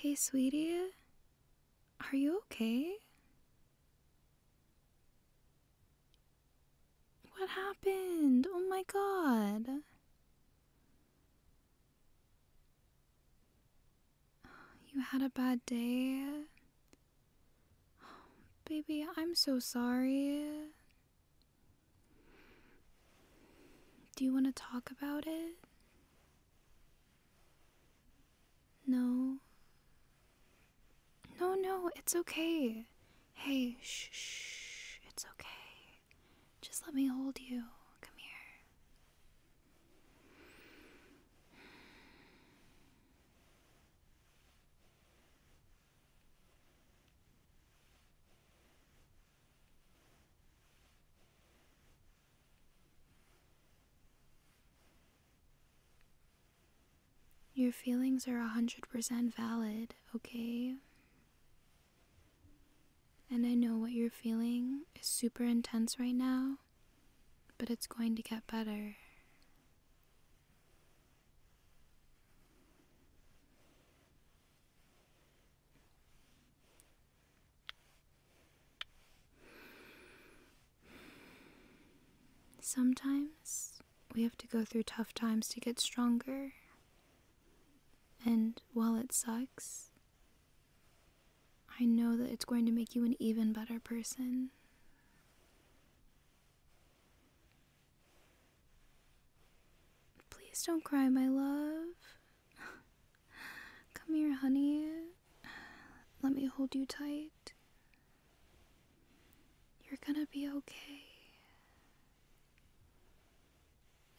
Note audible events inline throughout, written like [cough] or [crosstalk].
Hey, sweetie, are you okay? What happened? Oh my god. You had a bad day. baby, I'm so sorry. Do you want to talk about it? No. No, no, it's okay. Hey, shh, it's okay. Just let me hold you. Come here. Your feelings are 100% valid, okay? And I know what you're feeling is super intense right now, but it's going to get better. Sometimes we have to go through tough times to get stronger. And while it sucks, I know that it's going to make you an even better person. Please don't cry, my love. Come here, honey. Let me hold you tight. You're gonna be okay.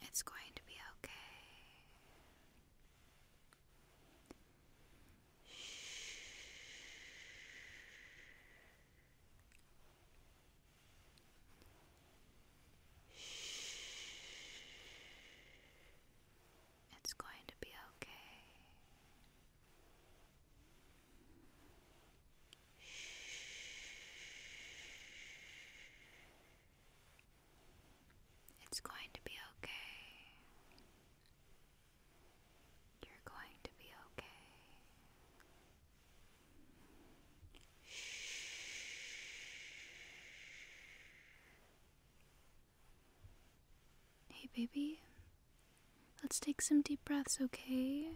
It's going to be okay. Shh. Shh. It's going to be okay. It's going to be okay. You're going to be okay. Hey, baby. Let's take some deep breaths, okay?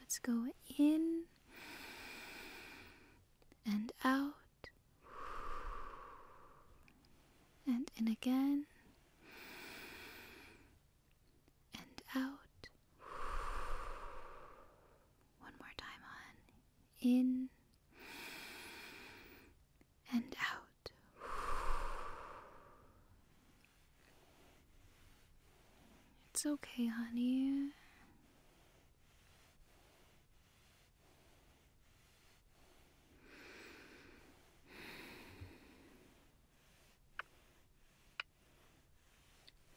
Let's go in and out and in again and out. One more time on. In and out. It's okay, honey.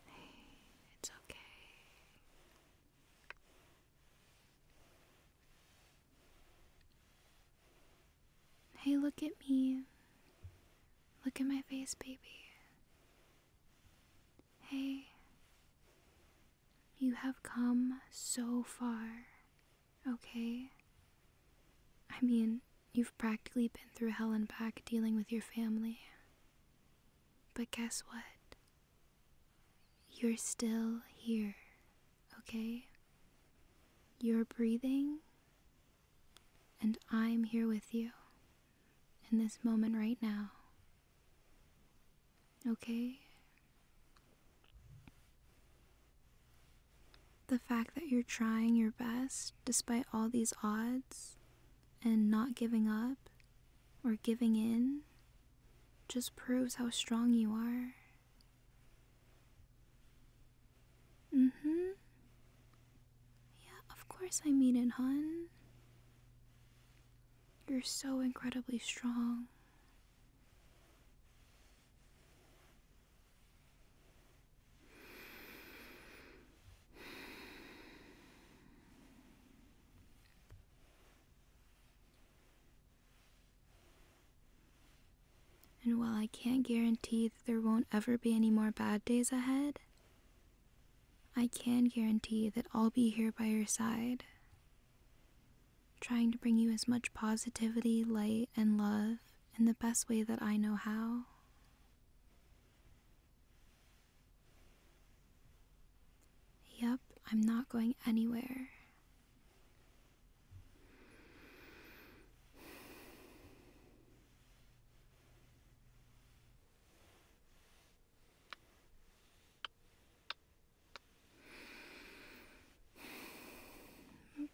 Hey, it's okay. Hey, look at me. Look at my face, baby. Hey, you have come so far, okay? I mean, You've practically been through hell and back dealing with your family. But guess what? You're still here, okay? You're breathing, and I'm here with you in this moment right now. Okay? The fact that you're trying your best despite all these odds and not giving up or giving in just proves how strong you are. Mm hmm. Yeah, of course I mean it, hun. You're so incredibly strong. And while I can't guarantee that there won't ever be any more bad days ahead, I can guarantee that I'll be here by your side, trying to bring you as much positivity, light, and love in the best way that I know how. Yep, I'm not going anywhere.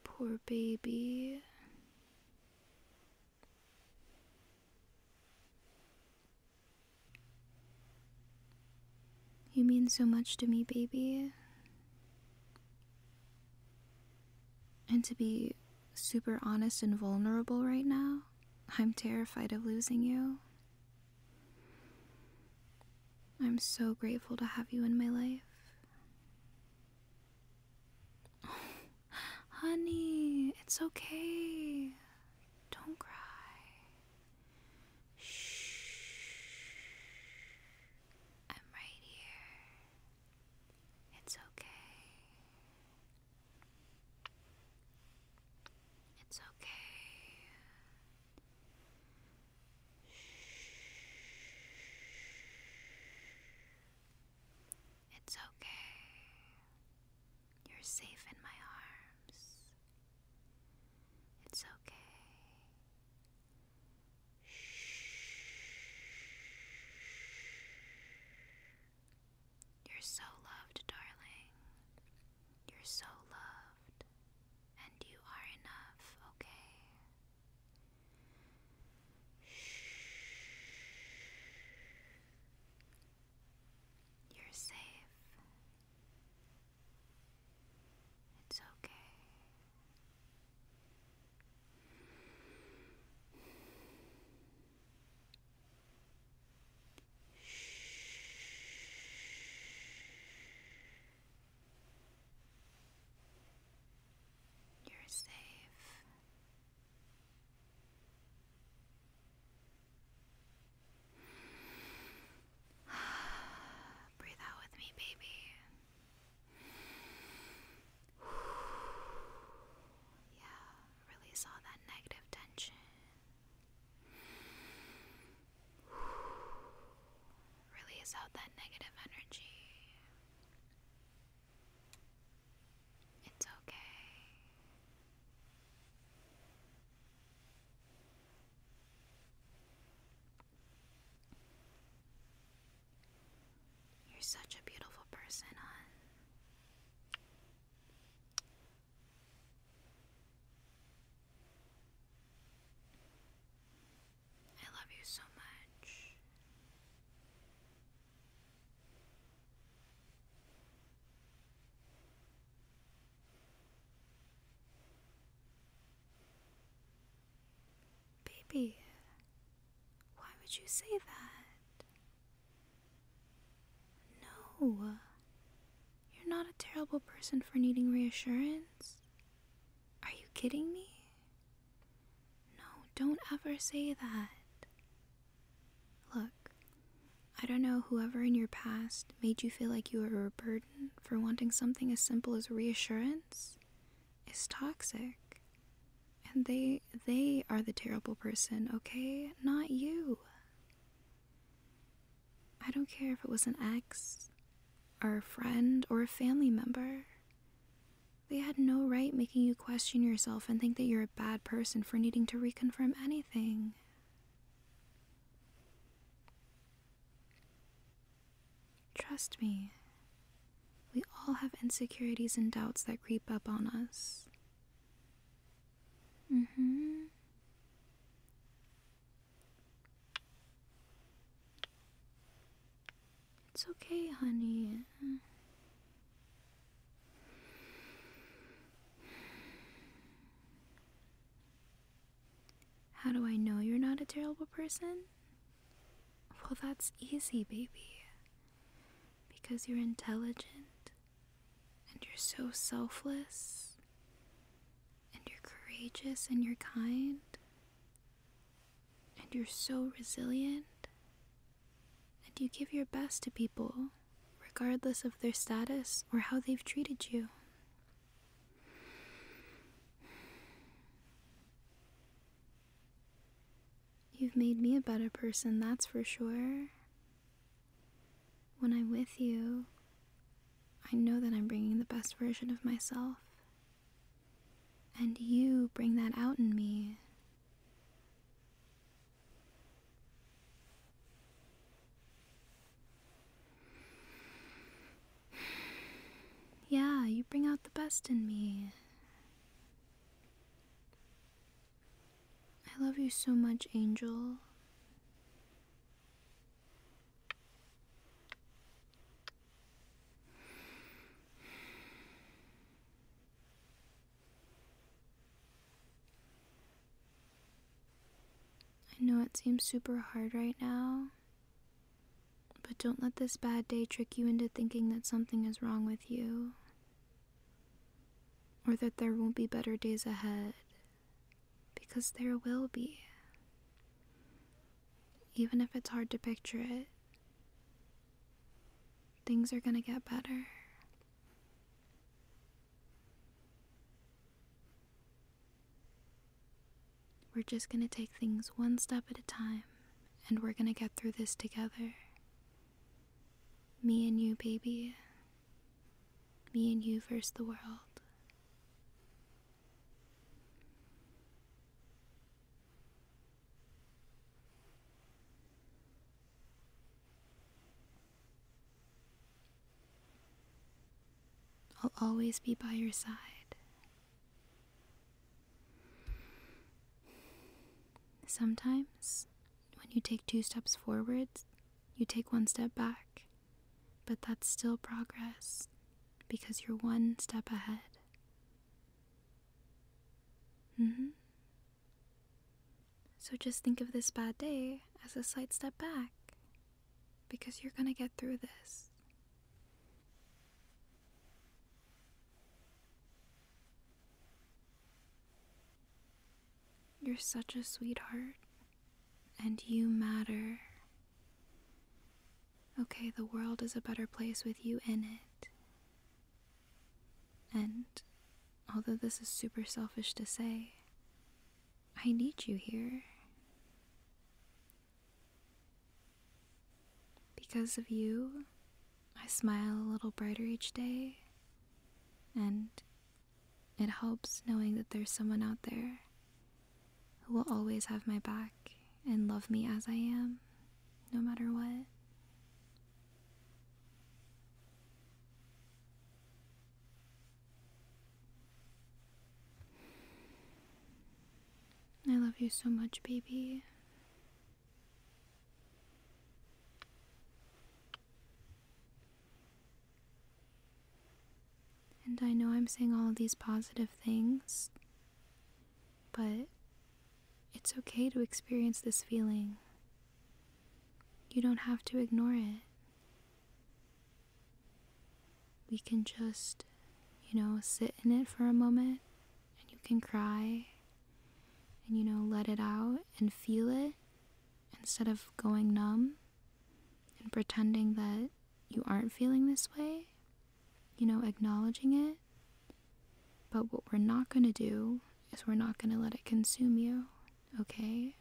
Poor baby. You mean so much to me, baby. And to be super honest and vulnerable right now, I'm terrified of losing you. I'm so grateful to have you in my life. [sighs] honey, it's okay. Don't cry. Shh. I'm right here. It's okay. It's okay. It's okay. You're safe in my arms. It's okay. You're so loved, darling. You're so loved. And you are enough, okay? You're safe. It's okay. You're safe. [sighs] Breathe out with me, baby. [sighs] yeah, release all that negative tension. [sighs] Release out that negative energy. It's okay. You're such a beautiful person, hon. I love you so much. Baby, why would you say that? No. You're not a terrible person for needing reassurance. Are you kidding me? No, don't ever say that. Look, I don't know whoever in your past made you feel like you were a burden for wanting something as simple as reassurance is toxic. And they they are the terrible person, okay? Not you. I don't care if it was an ex or a friend or a family member. They had no right making you question yourself and think that you're a bad person for needing to reconfirm anything. Trust me, we all have insecurities and doubts that creep up on us. Mm hmm. It's okay, honey. How do I know you're not a terrible person? Well, that's easy, baby. Because you're intelligent, and you're so selfless, and you're courageous, and you're kind, and you're so resilient, and you give your best to people regardless of their status or how they've treated you. You've made me a better person, that's for sure. When I'm with you, I know that I'm bringing the best version of myself. And you bring that out in me. Yeah, you bring out the best in me. I love you so much, Angel. I know it seems super hard right now, but don't let this bad day trick you into thinking that something is wrong with you or that there won't be better days ahead, because there will be. Even if it's hard to picture it, things are gonna get better. We're just going to take things one step at a time, and we're going to get through this together. Me and you, baby. Me and you versus the world. I'll always be by your side. Sometimes, when you take two steps forward, you take one step back, but that's still progress because you're one step ahead. hmm so just think of this bad day as a slight step back because you're going to get through this. You're such a sweetheart, and you matter. Okay, the world is a better place with you in it. And although this is super selfish to say, I need you here. Because of you, I smile a little brighter each day, and it helps knowing that there's someone out there who will always have my back and love me as I am, no matter what. I love you so much, baby. And I know I'm saying all these positive things, but it's okay to experience this feeling. You don't have to ignore it we can just, you know, sit in it for a moment and you can cry and, you know, let it out and feel it instead of going numb and pretending that you aren't feeling this way, you know, acknowledging it. But what we're not going to do is we're not going to let it consume you okay?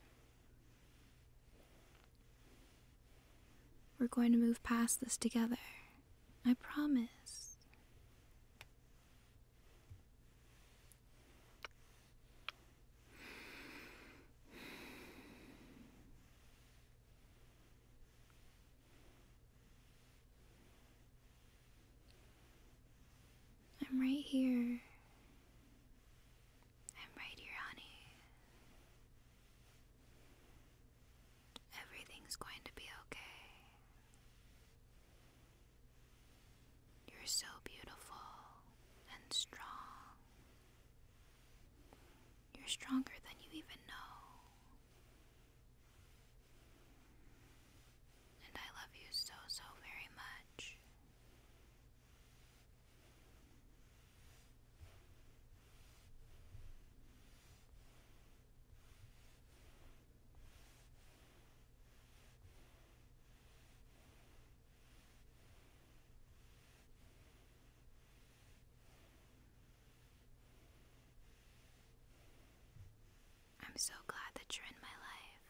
We're going to move past this together. I promise. I'm right here. I'm right here, honey. Everything's going to be okay. You're so beautiful and strong. You're stronger than you even know. And I love you so, so very much. I'm so glad that you're in my life.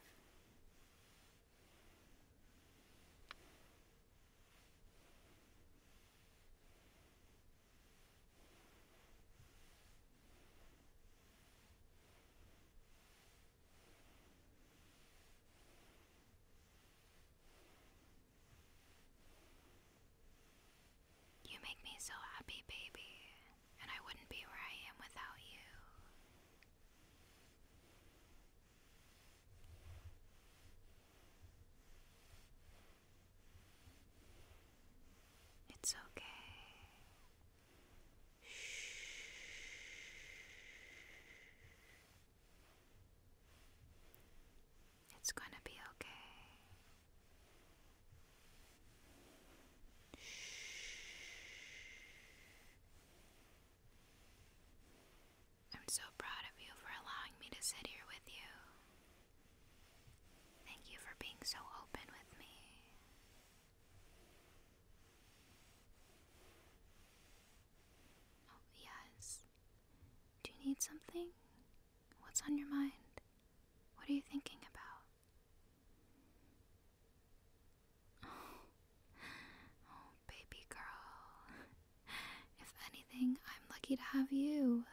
You make me so happy, baby, and I wouldn't be where I am without you. It's okay. Shh. It's going to be okay. Shh. I'm so proud of you for allowing me to sit here with you. Thank you for being so open with me. Oh, yes. Do you need something? What's on your mind? What are you thinking about? Oh, [sighs] baby girl. If anything, I'm lucky to have you.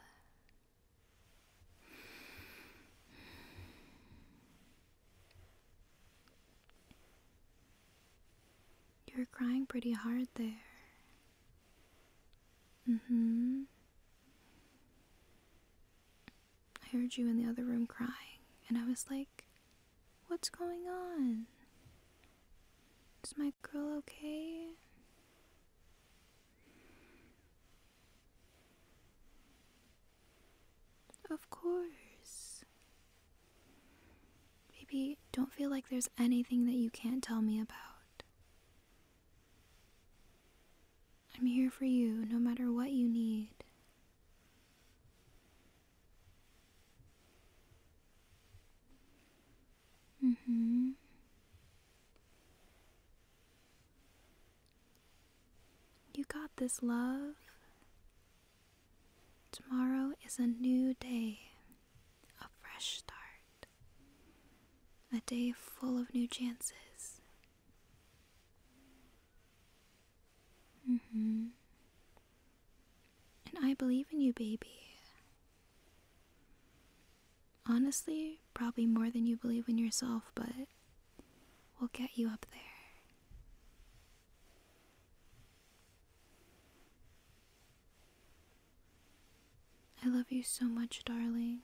You're crying pretty hard there. Mm hmm. I heard you in the other room crying, and I was like, What's going on? Is my girl okay? Of course. Baby, don't feel like there's anything that you can't tell me about. I'm here for you no matter what you need. Mm-hmm. You got this, love. Tomorrow is a new day, a fresh start, a day full of new chances. Mm-hmm. And I believe in you, baby. Honestly, probably more than you believe in yourself, but we'll get you up there. I love you so much, darling.